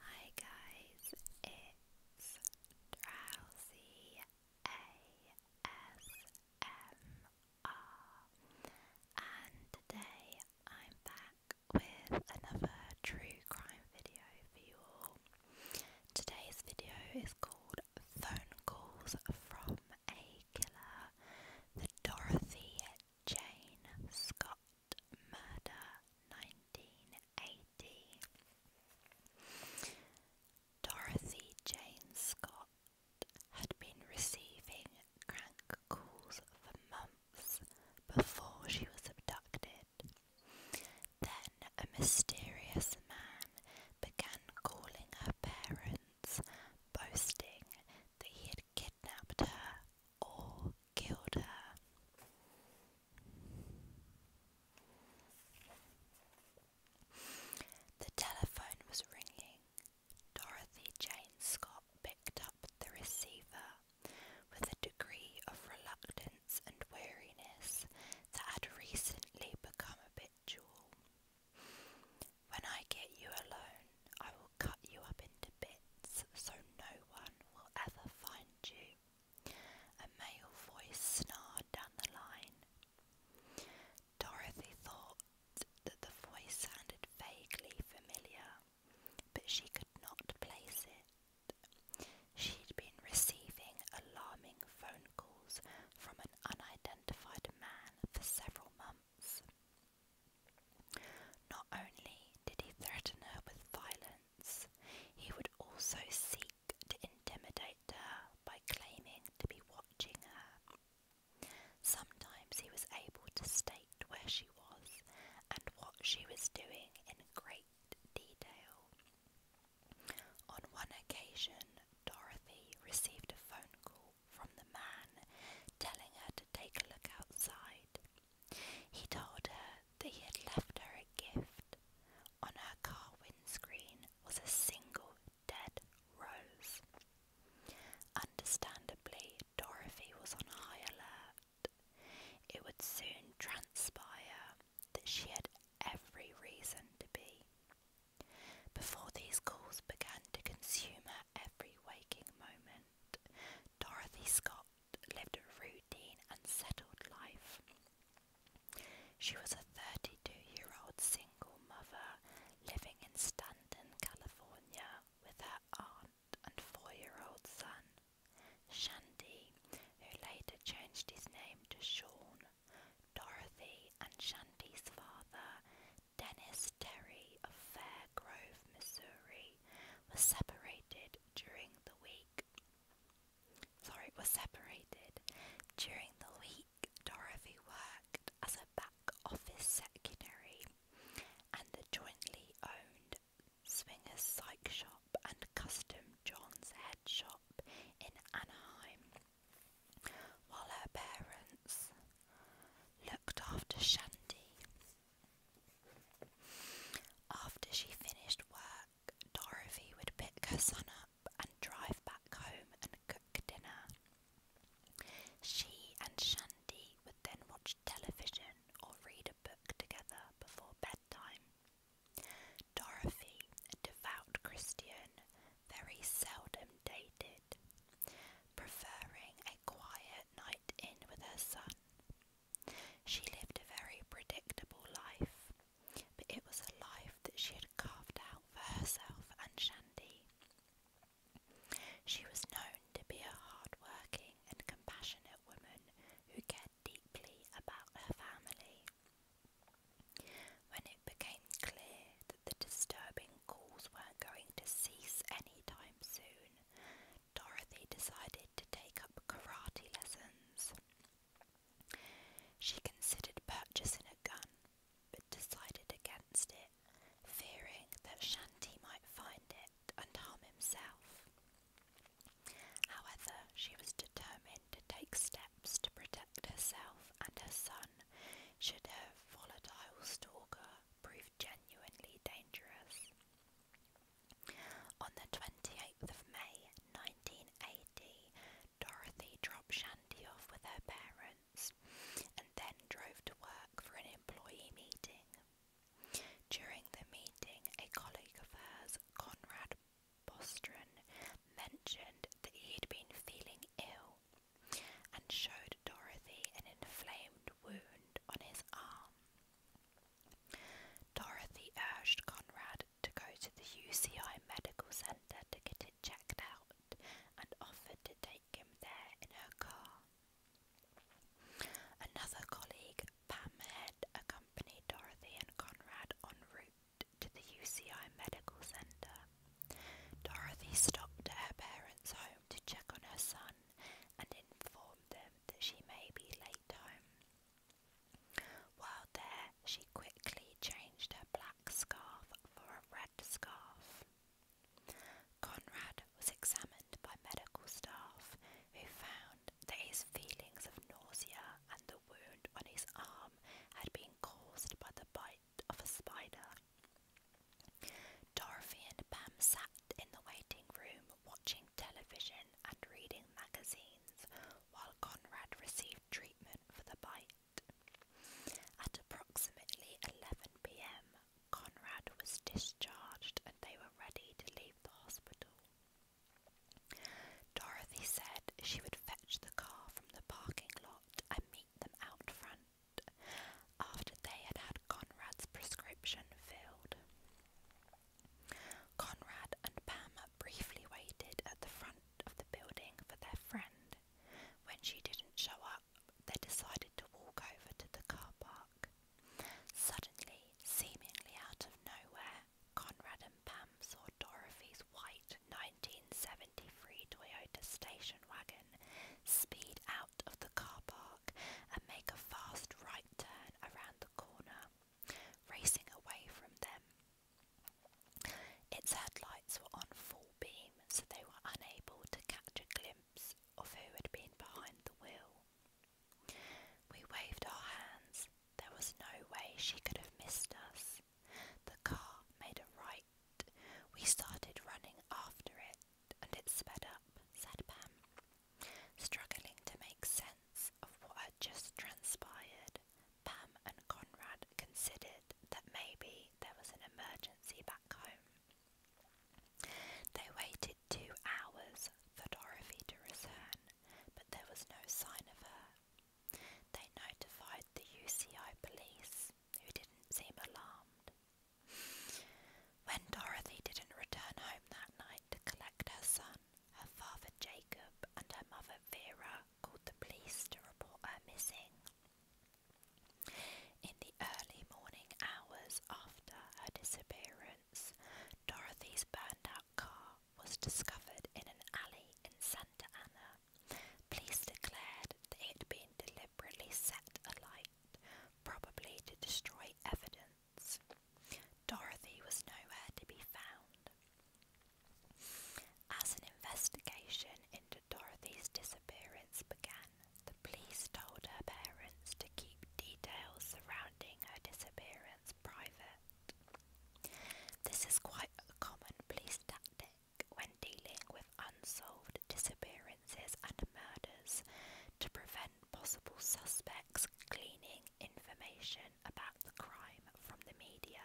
Hi guys, it's Drowsy ASMR and today I'm back with another true crime video for you Today's video is called Phone Calls from a Killer, the Dorothy Jane Scott Murder 1980. Dorothy Jane Scott had been receiving crank calls for months before she was abducted. Then a mysterious man began calling her parents, boasting that he had kidnapped her or killed her. The telephone was ringing. Dorothy Jane Scott picked up the receiver with a degree of reluctance and weariness that had recently become habitual. When I get you alone, I will cut you up into bits so no one will ever find you. A male voice snarled down the line. Dorothy thought that the voice sounded vaguely familiar, but she could not place it. She'd been receiving alarming phone calls from an unidentified man for several months. Not only did he threaten her with violence, he would also seek to intimidate her by claiming to be watching her. Sometimes he was able to state where she was and what she was doing in great detail. On one occasion, Dorothy received a phone call from the man telling her to take a look outside he told her that he had left her a gift. On her car windscreen was a single dead rose. Understandably, Dorothy was on high alert. It would soon transpire that she had every reason to be. Before these calls began to consume her every waking moment, Dorothy Scott lived a routine and settled life. She was a 32 year old single mother living in Stanton, California with her aunt and four year old son. Shandy, who later changed his name to Sean, Dorothy and Shandy's father, Dennis Terry of Fair Grove, Missouri, Day was separated during the week. Sorry, was separated during the week. Dorothy worked as a back office secretary and the jointly owned Swinger's Psych Shop and Custom John's Head Shop in Anaheim, while her parents looked after Shandy, after she finished work, Dorothy would pick her son up and drive back home and cook dinner. She and Shandy would then watch television or read a book together before bedtime. Dorothy, a devout Christian, very seldom dated, preferring a quiet night in with her son she lived a very predictable life, but it was a life that she had carved out for herself and Shandy. She was known to be a hard-working and compassionate woman who cared deeply about her family. When it became clear that the disturbing calls weren't going to cease any time soon, Dorothy decided to take up karate lessons. She considered purchasing a gun, but decided against it, fearing that Shanti might find it and harm himself. However, she was determined to take steps to protect herself and her son should her volatile stalker prove genuinely dangerous. On the 28th of May 1980, Dorothy dropped Shandy off with her parents and then drove to work for an employee meeting. During the meeting, a colleague of hers, Conrad Bostron, mentioned that he had been feeling ill and showed Dorothy an inflamed wound on his arm. Dorothy urged Conrad to go to the UCI Medical Center to get it checked out and offered to take him there in her car. Another colleague, Pam Head, accompanied Dorothy and Conrad en route to the UCI Medical Center. Dorothy stopped at her parents' home to check on her son, and informed them that she may be late home. While there, she quickly changed her black scarf for a red scarf. Conrad was examined by medical staff, who found that his feelings of nausea and the wound on his arm had been caused by the bite of a spider. Dorothy and Pam sat in the waiting room watching television, and reading magazines, while Conrad received treatment for the bite. At approximately 11 pm, Conrad was discharged and they were ready to leave the hospital. Dorothy said she would fetch the car from the parking lot and meet them out front. After they had had Conrad's prescription failed. Conrad and Pam briefly waited at the front of the building for their friend. When she didn't show up, they decided to walk over to the car park. Suddenly, seemingly out of nowhere, Conrad and Pam saw Dorothy's white 1973 Toyota station wagon speed out of the car park and make a fast right turn around the corner, racing away from them. Its headlights were on full beam, so they were unable to catch a glimpse of who had been behind the wheel. We waved our hands. There was no way she could have missed us. The car made a right. We started running after it, and it sped up, said Pam. Struggling to make sense of what had just transpired, Pam and Conrad considered that maybe there was an emergency back home. They waited two hours for Dorothy to return, but there was no sign of her. They notified the UCI police, who didn't seem alarmed. When Dorothy didn't return home that night to collect her son, her father Jacob and her mother Vera called the police to report her missing. In the early morning hours after her disappearance, Dorothy's burned out car was discovered in an alley in Santa Ana. Police declared that it had been deliberately set alight, probably to destroy evidence Dorothy was nowhere to be found. As an investigation into Dorothy's disappearance began, the police told her parents to keep details surrounding her disappearance private. This is quite a common police tactic when dealing with unsolved disappearances and murders to prevent possible suspects gleaning information about the crime from the media.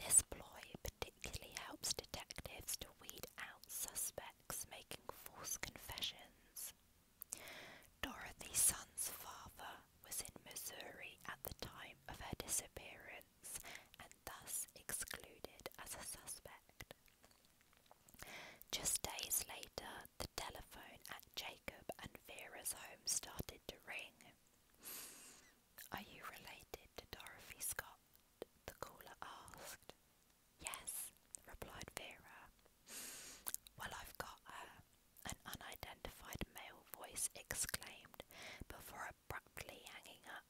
This ploy particularly helps detectives to weed out suspects making false confessions. Dorothy's son's father was in Missouri at the time of her disappearance and thus excluded as a suspect. Just days later, the telephone at Jacob and Vera's home started to ring. Are you related to Dorothy Scott? the caller asked. Yes, replied Vera. Well, I've got her, an unidentified male voice exclaimed before abruptly hanging up.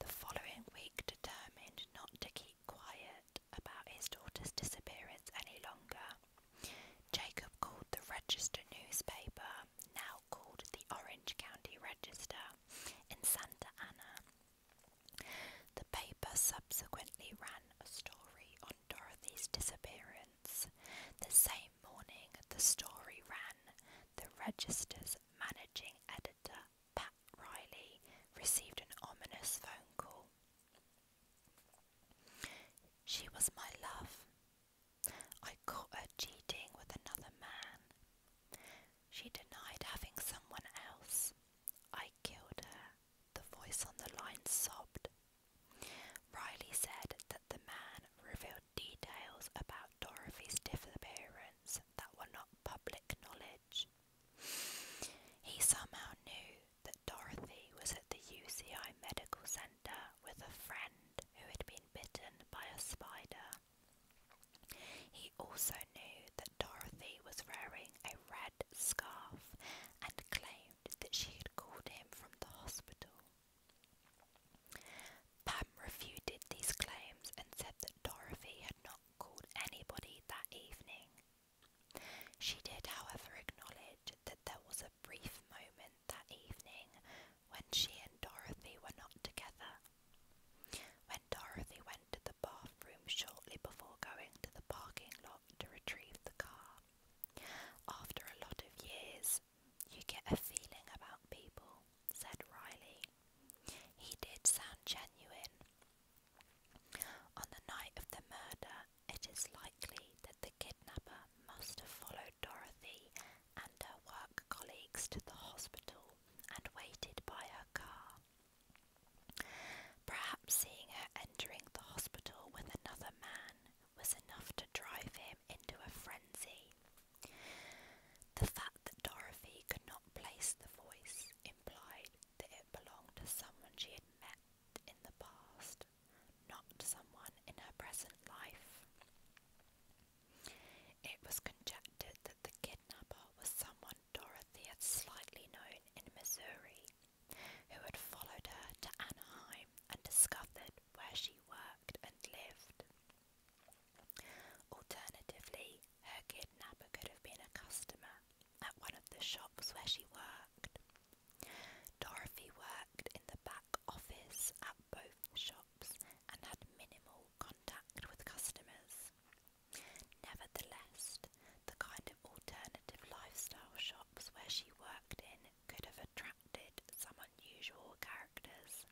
The following week, determined not to keep quiet about his daughter's disappearance any longer. Jacob called the Register newspaper, now called the Orange County Register, in Santa Ana. The paper subsequently ran a story on Dorothy's disappearance. The same morning, the story ran. The Register's managing editor, Pat Riley received an ominous phone call. She was my love. I caught her cheating with another man. She denied having someone else. I killed her, the voice on the line sobbed. Riley said that the man revealed details about Dorothy's disappearance that were not public knowledge college. He somehow knew that Dorothy was at the UCI Medical Center with a friend who had been bitten by a spider. He also knew that Dorothy was wearing a red scarf and claimed that she had called him from the hospital. Pam refuted these claims and said that Dorothy had not called anybody that evening she did, however, acknowledge that there was a brief moment that evening when she and Dorothy were not together. When Dorothy went to the bathroom shortly before going to the parking lot to retrieve the car. After a lot of years, you get a feeling about people, said Riley. He did sound genuine, on the night of the murder, it is likely that the kidnapper must have followed Dorothy and her work colleagues to the hospital and waited by her car. Perhaps seeing her entering the hospital with another man was enough to drive him into a frenzy. The fact that Dorothy could not place the voice implied that it belonged to someone she had met in the past, not someone in her present life. It was conjectured that the kidnapper was someone Dorothy had slightly known in Missouri, who had followed her to Anaheim and discovered where she worked and lived. Alternatively, her kidnapper could have been a customer at one of the shops where she worked. Dorothy worked in the back office at both shops and had minimal contact with customers. Nevertheless, the kind of alternative lifestyle shops where she worked in could have attracted some unusual characters.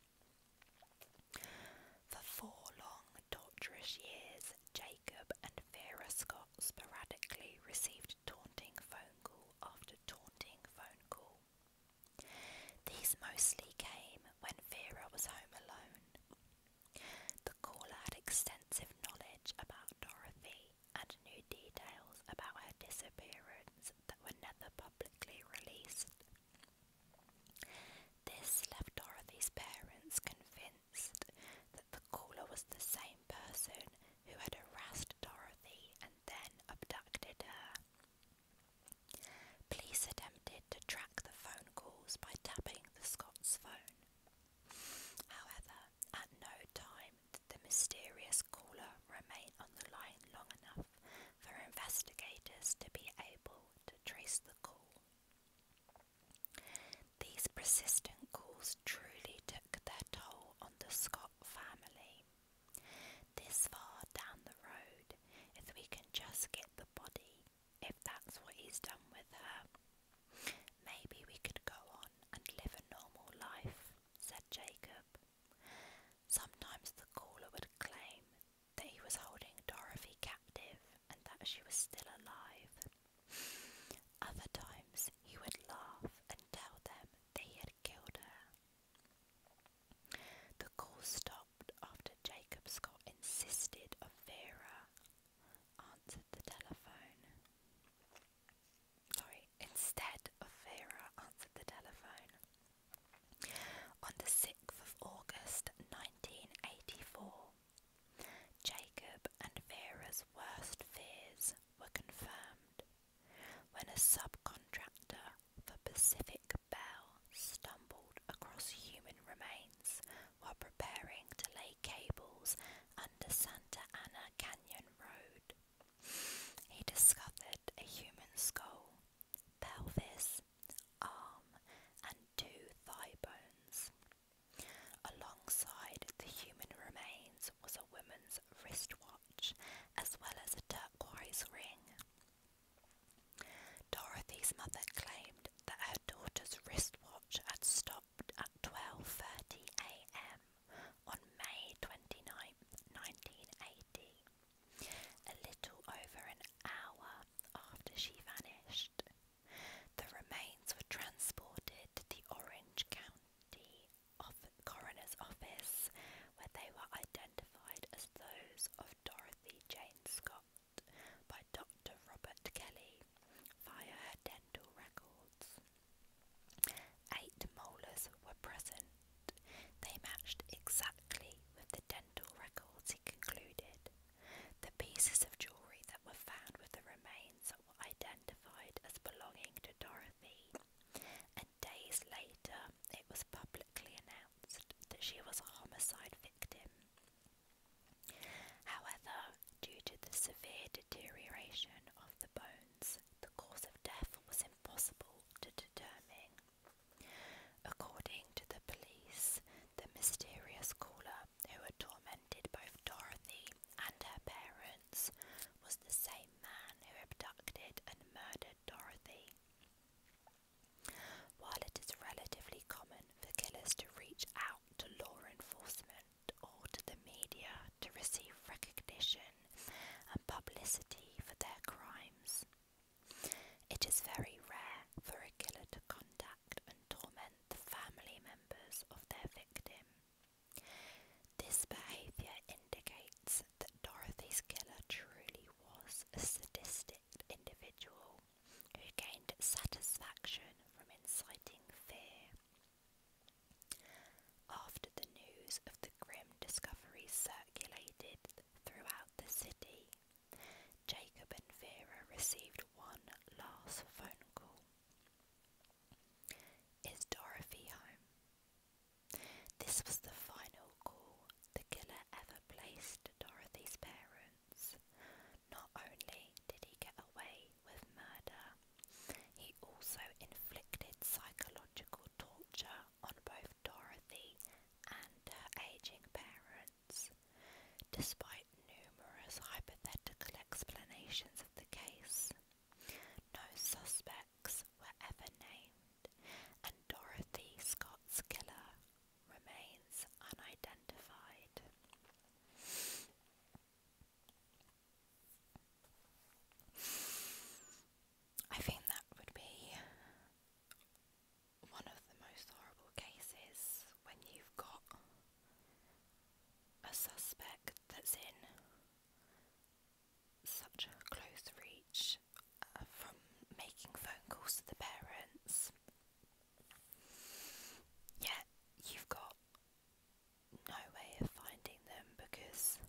For four long, torturous years, Jacob and Vera Scott sporadically received taunting phone call after taunting phone call. These mostly came when Vera was home alone. The caller had extensive knowledge about Dorothy and knew details about her disappearance that were never publicly released. This left Dorothy's parents convinced that the caller was the same person who had harassed Dorothy and then abducted her. Police attempted to track the phone calls by tapping the Scots phone. However, at no time did the mysterious caller remain on the line long enough for investigators to be able to trace the call. These persistent calls truly took their toll on the Scott family. This far down the road, if we can just get the body, if that's what he's done with her, maybe we could go on and live a normal life, said Jacob. Sometimes the caller would claim that he was holding Dorothy captive and that she was still alive. Other times he would laugh and tell them they had killed her. The call stopped after Jacob Scott insisted of answered the telephone. Sorry, instead of answered the telephone. On the 6th of August 1984, Jacob and Vera's worst fears were confirmed when a subcontractor for Pacific Bell stumbled across human remains while preparing to lay cables under Santa Ana Canyon Road. He discovered a human skull, pelvis, arm, and two thigh bones. Alongside the human remains was a woman's wristwatch, as well as a turquoise ring. Dorothy's mother claimed that her daughter's wristwatch had stopped at 12:30 a.m. on May 29, 1980, a little over an hour after she vanished. The remains were transported to the Orange County Coroner's Office, where they were identified as those of Dorothy Jane Scott by Dr. Robert Kelly via dental records. Eight molars were present. They matched exactly with the dental records, he concluded. The pieces of jewellery that were found with the remains identified as belonging to Dorothy, and days later it was publicly announced that she was a homicide victim. However, due to the severe deterioration of the bones, the cause of death was impossible to determine. According to the police, the mysterious caller who had tormented both Dorothy and her parents, was the same man who abducted and murdered Dorothy. While it is relatively common for killers to reach out to law enforcement or to the media to receive recognition and publicity for their crimes, it is very rare for a killer to contact and torment the family members of their victim. This behavior indicates that Dorothy's killer truly was a sadistic individual who gained satisfaction from inciting fear. After the news of the grim discovery circulated throughout the city, Jacob and Vera received one last phone call. Is Dorothy home? This was the final call the killer ever placed Dorothy's parents. Not only did he get away with murder, he also inflicted psychological torture on both Dorothy and her aging parents. Despite numerous hypothetical explanations of the case, no suspects were ever named, and Dorothy Scott's killer remains unidentified. I think that would be one of the most horrible cases when you've got a suspect that's in such close reach uh, from making phone calls to the parents. Yet you've got no way of finding them because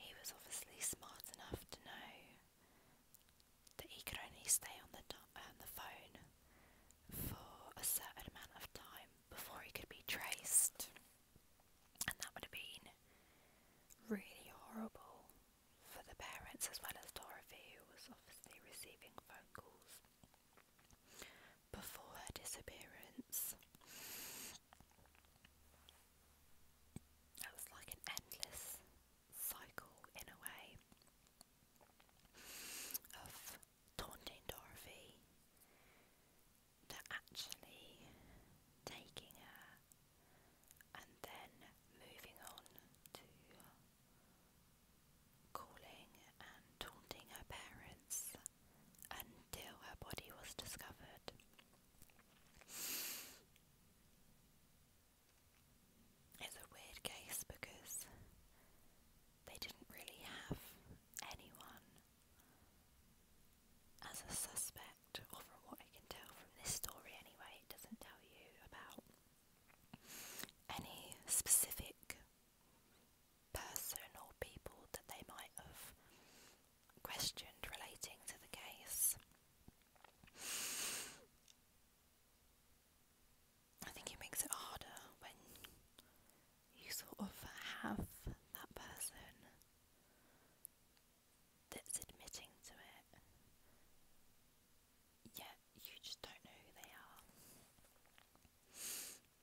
he was obviously smart enough to know that he could only stay on the on uh, the phone for a certain amount of time before he could be traced, and that would have been really horrible for the parents as well as Dorothy, who was obviously receiving phone calls before her disappearance. That was like an endless cycle in a way of taunting Dorothy to actually taking her and then moving on to calling and taunting her parents until her body was discovered. It's a weird case because they didn't really have anyone as a suspect, from what I can tell from this story anyway, it doesn't tell you about any specific person or people that they might have questioned relating to the case. I think it makes it harder when you sort of have that person that's admitting to it, yet you just don't know who they are.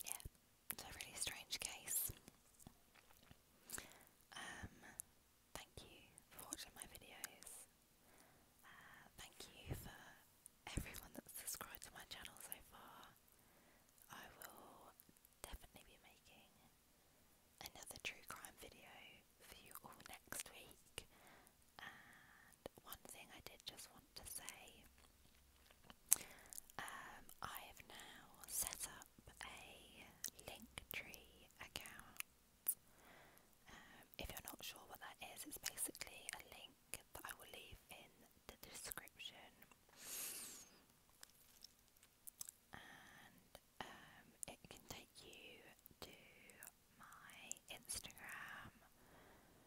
Yeah, it's really strange case. Um, thank you for watching my videos. Uh, thank you for everyone that's subscribed to my channel so far. I will definitely be making another true crime video for you all next week. And one thing I did just want to say um, I have now set up a Linktree account. Um, if you're not sure what that is, it's basically a link that I will leave in the description and um, it can take you to my Instagram, um,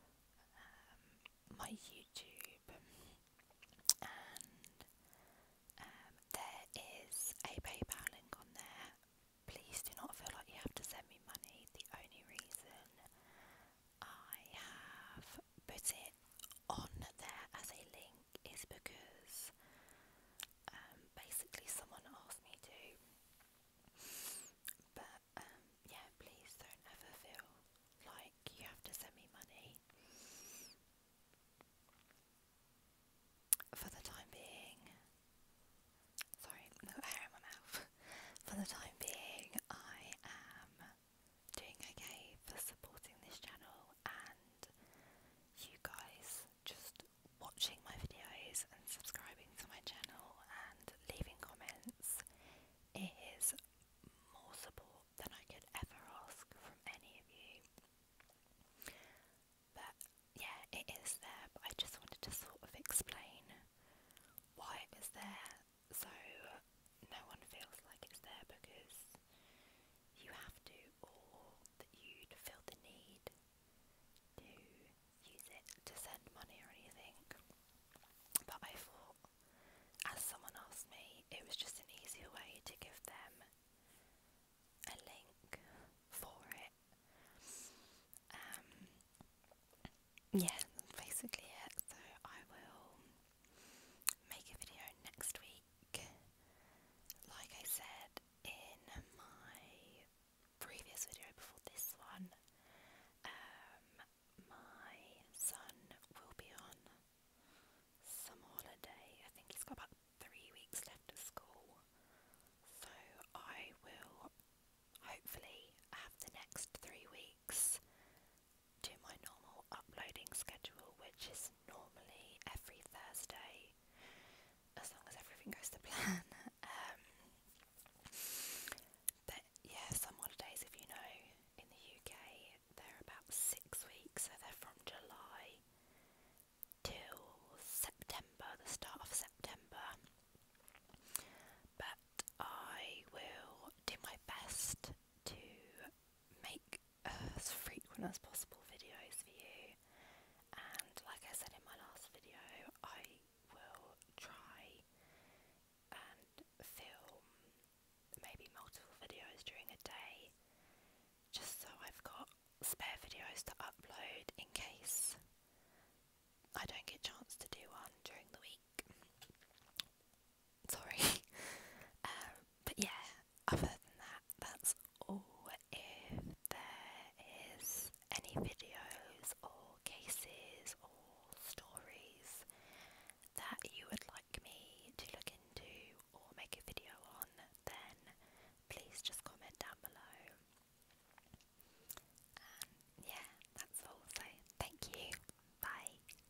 my YouTube, and um, there is a PayPal link on there. Please do not feel like you have to send me money. The only reason I have put it on there as a link is because um, basically someone asked me to. But um, yeah, please don't ever feel like you have to send me money. For the time being, sorry, no hair in my mouth. For the time being, I am doing okay, for supporting this channel and you guys just watching my videos and subscribing to my channel and leaving comments. It is more support than I could ever ask from any of you. But yeah, it is there, I just wanted to sort of explain why it there so no one feels like it's there because you have to or that you'd feel the need to use it to send money or anything. But I thought, as someone asked me, it was just an easier way to give them a link for it. Um, yeah, that's basically it. So I will make a video next week. Like I said in my previous video before this one, um, my son will be on some holiday. I think he's got about three weeks left at school. So I will hopefully have the next three weeks to my normal uploading schedule, which is normally every Thursday, as long as everything goes to plan. Um, but yeah, some holidays, if you know, in the UK, they're about six weeks, so they're from July till September, the start of September. But I will do my best to make as frequent as possible videos for you. And like I said in my last video, I will try and film maybe multiple videos during a day just so I've got spare videos to upload in case I don't get a chance to do one during the week sorry. Um, but yeah, other than that, that's all. If there is any videos or cases or stories that you would like me to look into or make a video on, then please just comment down below. And yeah, that's all. So thank you. Bye.